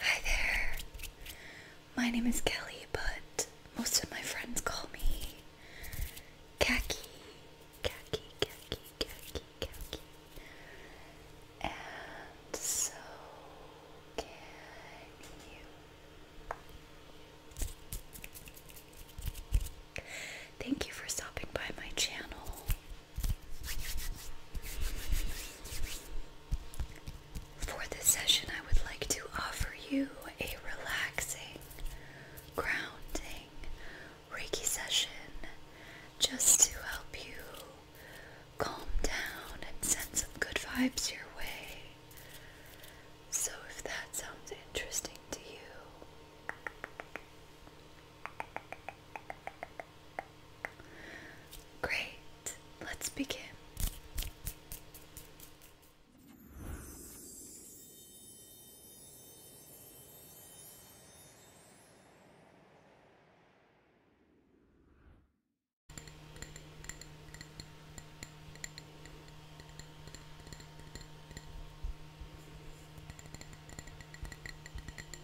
Hi there. My name is Kelly, but most of my friends call me Khaki. Khaki, khaki, khaki, khaki. And so can you. Thank you for stopping by my channel. For this session, I would like to offer you a relaxing, grounding Reiki session just to help you calm down and send some good vibes your way. So, if that sounds interesting to you, Great, let's begin.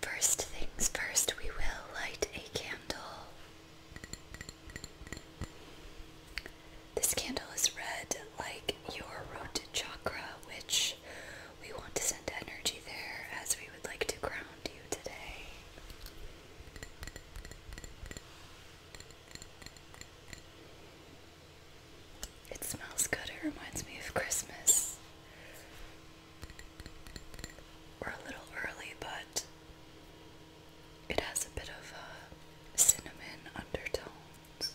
First things first, we will light a candle. This candle is red, like your root chakra, which we want to send energy there as we would like to ground you today. It smells good, it reminds me of Christmas. We're a little early, but it has a bit of a uh, cinnamon undertones.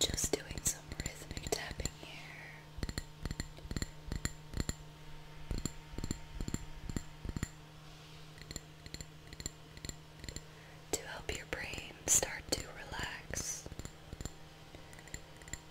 Just doing some rhythmic tapping here. To help your brain start to relax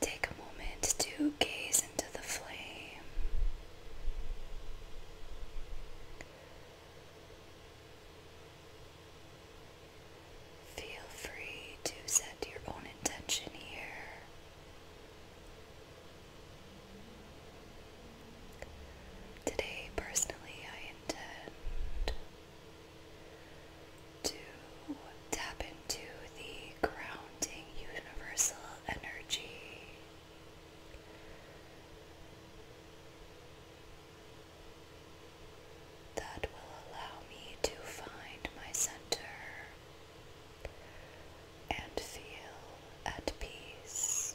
Take a moment to gaze into the flame. Feel free to set your own intention here. Today, personally, I intend to tap into the grounding universal energy. That will allow me to find my center and feel at peace.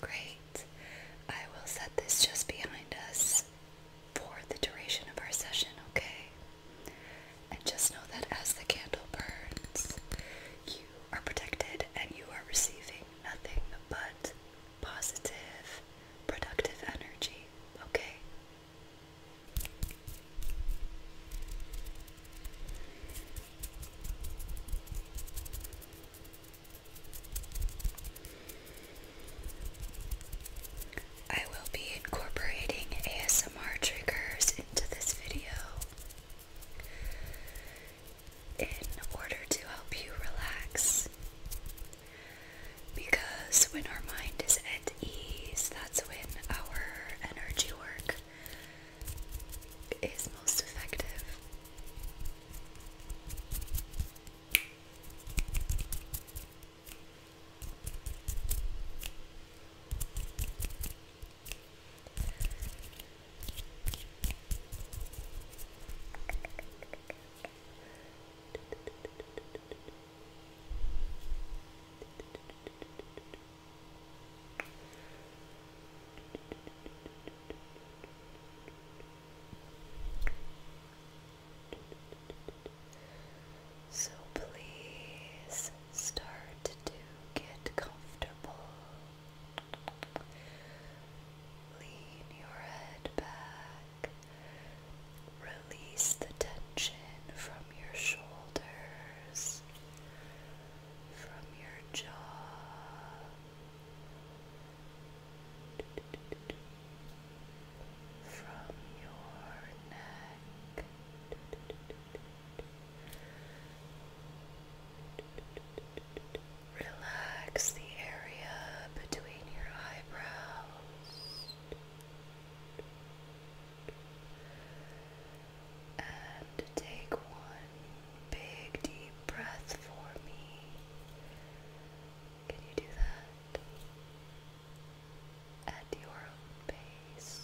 Great. I will set this just behind us for the duration of our session, okay? And just know that as the candle burns, you are protected and you are receiving nothing but positive, productive energy, okay? I will be incorporating ASMR triggers into this video in order to help you relax. Because when our mind is at ease, that's when our energy work is most effective. So please start to get comfortable. Lean your head back. Release the tension from your shoulders from your jaw, from your neck. Relax the area between your eyebrows and take one big deep breath for me. Can you do that? At your own pace.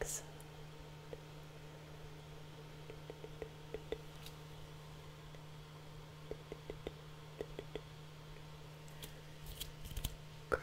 Excellent. Great.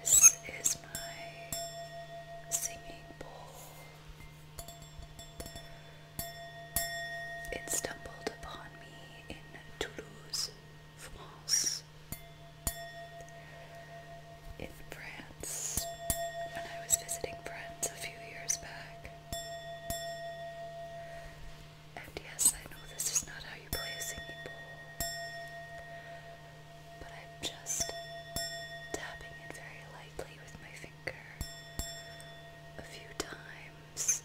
This is my singing bowl. It stumbled upon me in Toulouse, France. In France, when I was visiting friends a few years back. And yes, I know this is not how you play a singing bowl, but I'm just tapping it very lightly with my fingers a few times,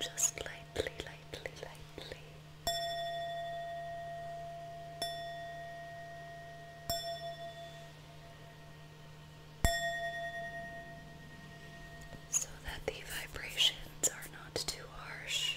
just lightly, lightly, lightly. So that the vibrations are not too harsh.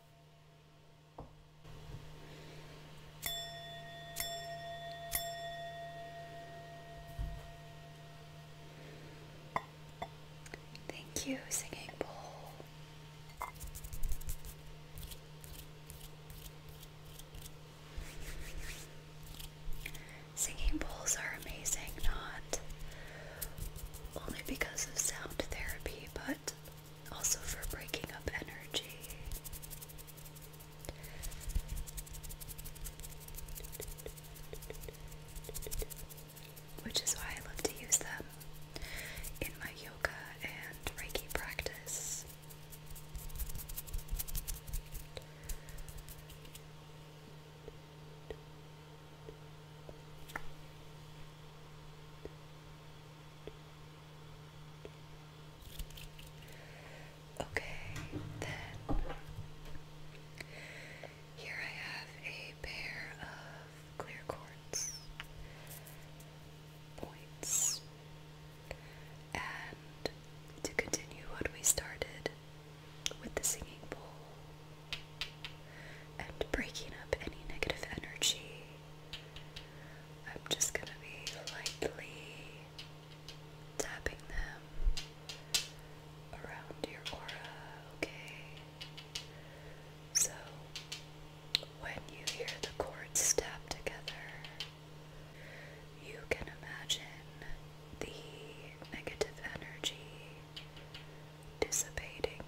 Thank you, Singing Bowl. Singing bowls are amazing, not only because of sound therapy, but also for breaking up energy. Which is why I love to use them in my yoga and Reiki practice. Okay, then here I have a pair of clear quartz points. And to continue what we started with the singing bowl, and breaking up any negative energy. I'm just going to be lightly tapping them around your aura, okay? So, when you hear the chords tap together, you can imagine the negative energy dissipating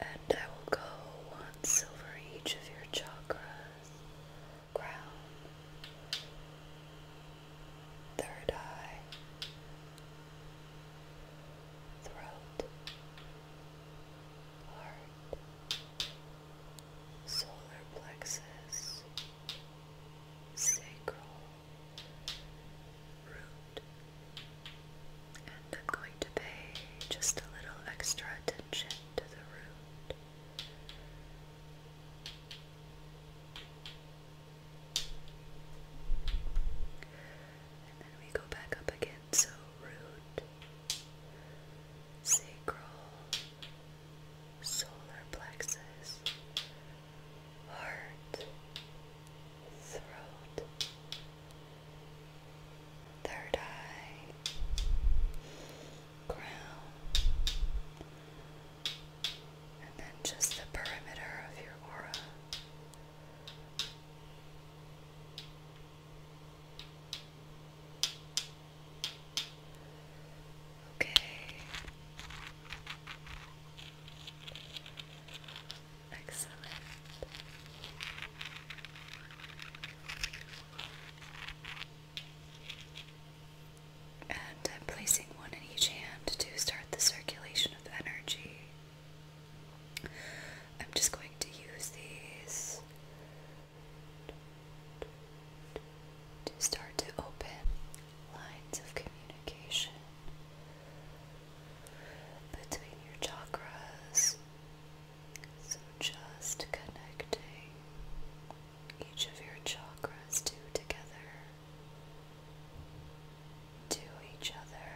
And I will go once over each of your chakras, crown, third eye, throat, heart, solar plexus, sacral, root. And I'm going to pay just a little extra attention to the root. And then we go back up again. So, root, sacral, solar plexus, heart, throat, third eye, crown, and then just the perimeter of your aura. Okay. Excellent. And I'm placing one in each hand to start the circulation of energy. I'm just going to use these to start to open lines of communication between your chakras so just connecting each of your chakras two together to each other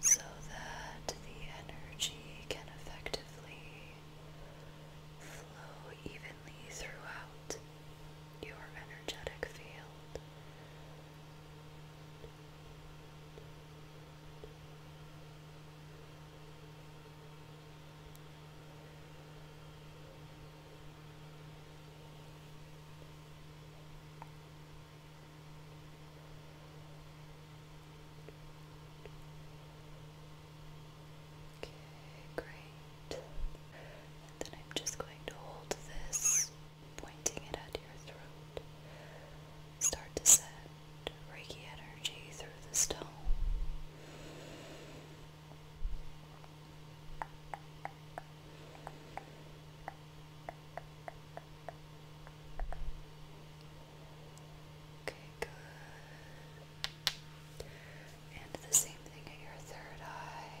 so that the energy can effectively flow evenly throughout your energetic field Okay, great. then I'm just going to hold this pointing it at your throat. Start to send Reiki energy through the stone. Okay, good. And the same thing at your third eye.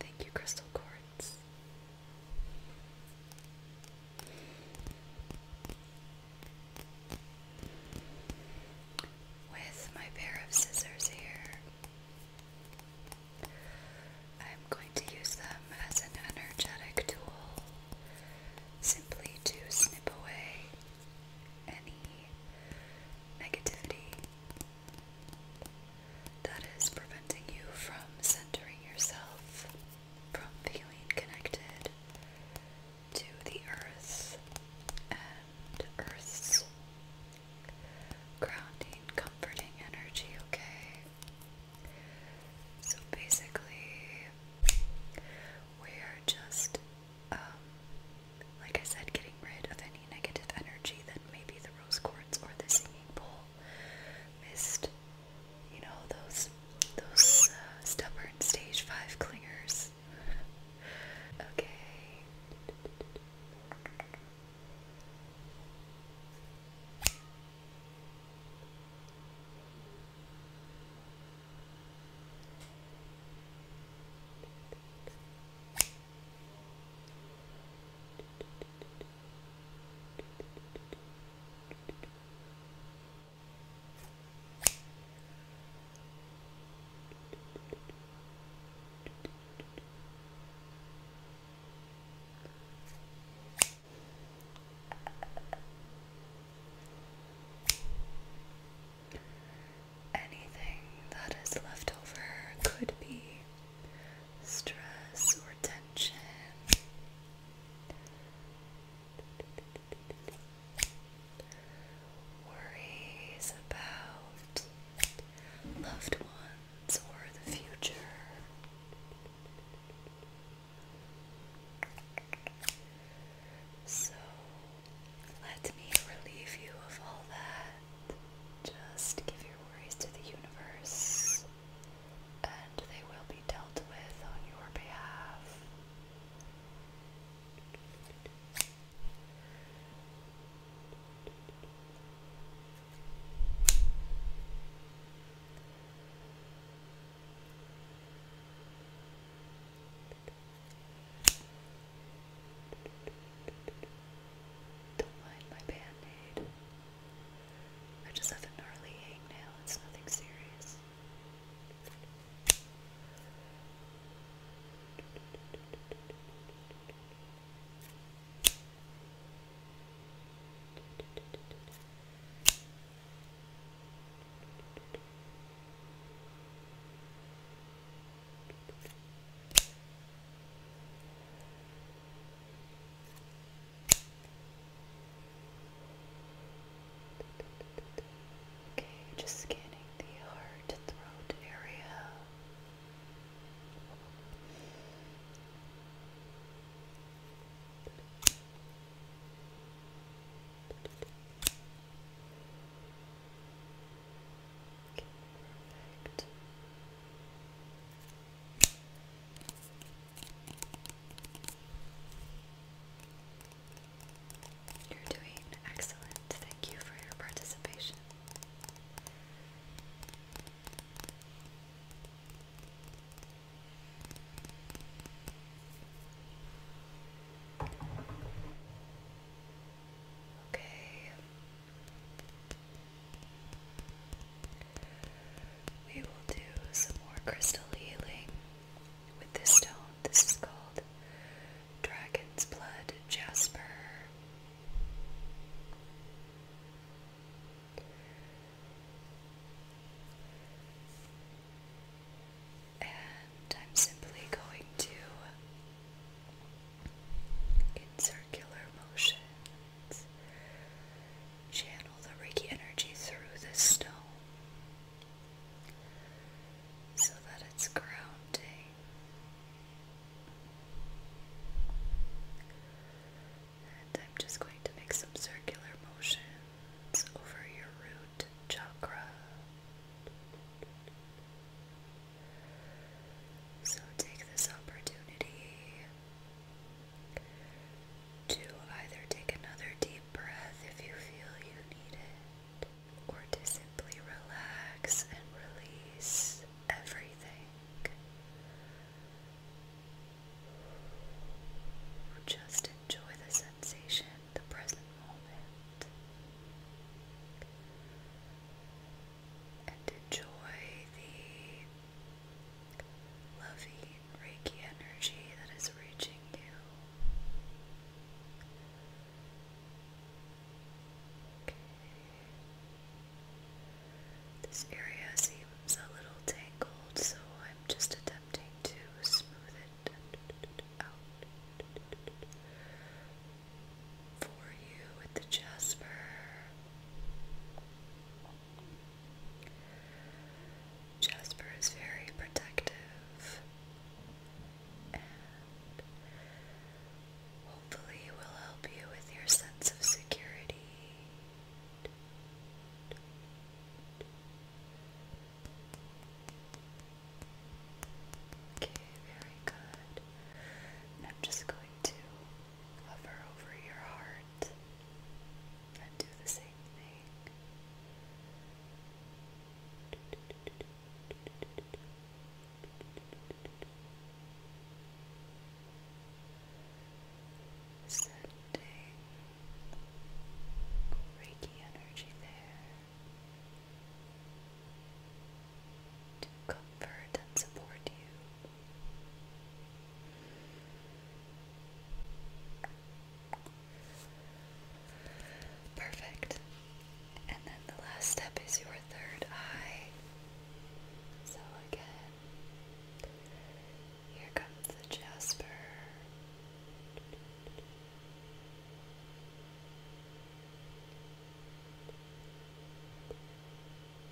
Thank you, Crystal Quartz. With my pair of scissors here, I'm going to use them as an energetic tool simply to snip away any negativity that is preventing you from centering yourself, from feeling connected to the earth and earth's grounding, comforting energy, okay? So basically, we're just, um, like I said, getting rid of any negative energy that may be the rose quartz or the singing bowl missed, you know, those those uh, stubborn stage five clingers. Okay. Anything that is left over could be stress or tension. Worries about loved ones or the future. So let me relieve you of all that just give your worries to the universe, and they will be dealt with on your behalf. Don't mind my band I just have a gnarly hangnail, it's nothing serious. Okay, just scanning the heart throat area. perfect. You're doing excellent. Thank you for your participation. Okay. We will do some more crystal healing with this stone. This is called Dragon's Blood Jasper. And I'm simply going to insert circular motions. Channel the Reiki energy through the stone so that it's grounding. And I'm just going to make some circular motions over your root chakra. So take this opportunity to either take another deep breath if you feel you need it, or to simply relax and release everything. Just enjoy the sensation, the present moment and enjoy the loving Reiki energy that is reaching you. Okay. This area seems a little tangled, so I'm just attempting to smooth it out for you with the jasper. Jasper is very protective, and hopefully, will help you with your sense of security. Okay, very good. I'm just going to Hover over your heart and do the same thing. Sending Reiki energy there to comfort and support you Perfect. And then the last step is your third eye. So again, here comes the jasper.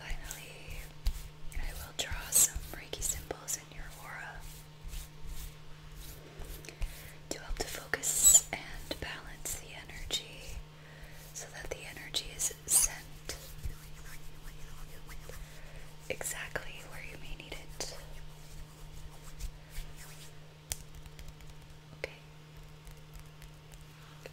Finally, I will draw some Reiki symbols in your aura to help to focus and balance the energy so that the energy is sent exactly where you may need it. Okay. Right. Good.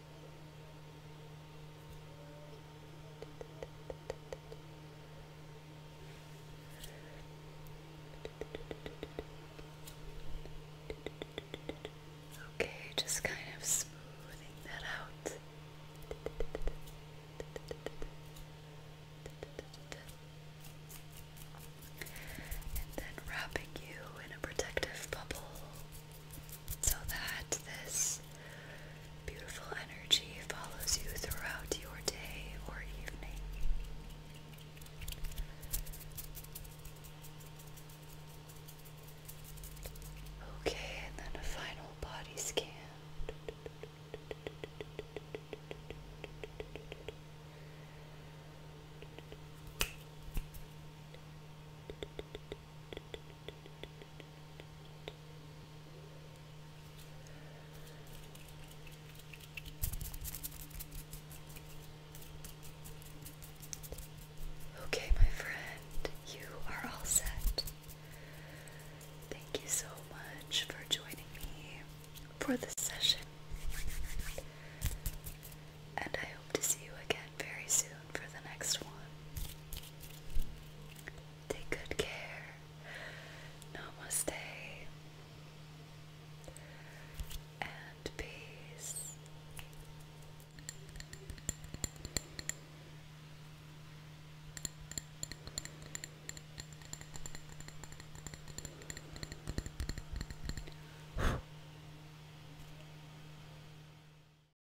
Okay, just kind of smoothing that out. And then wrapping you in a protective bubble so that this beautiful energy follows you throughout your day or evening. Okay, and then a final body scan. Okay, my friend, you are all set. Thank you so much for joining me for this session. And I hope to see you again very soon for the next one. Take good care. Namaste. And peace.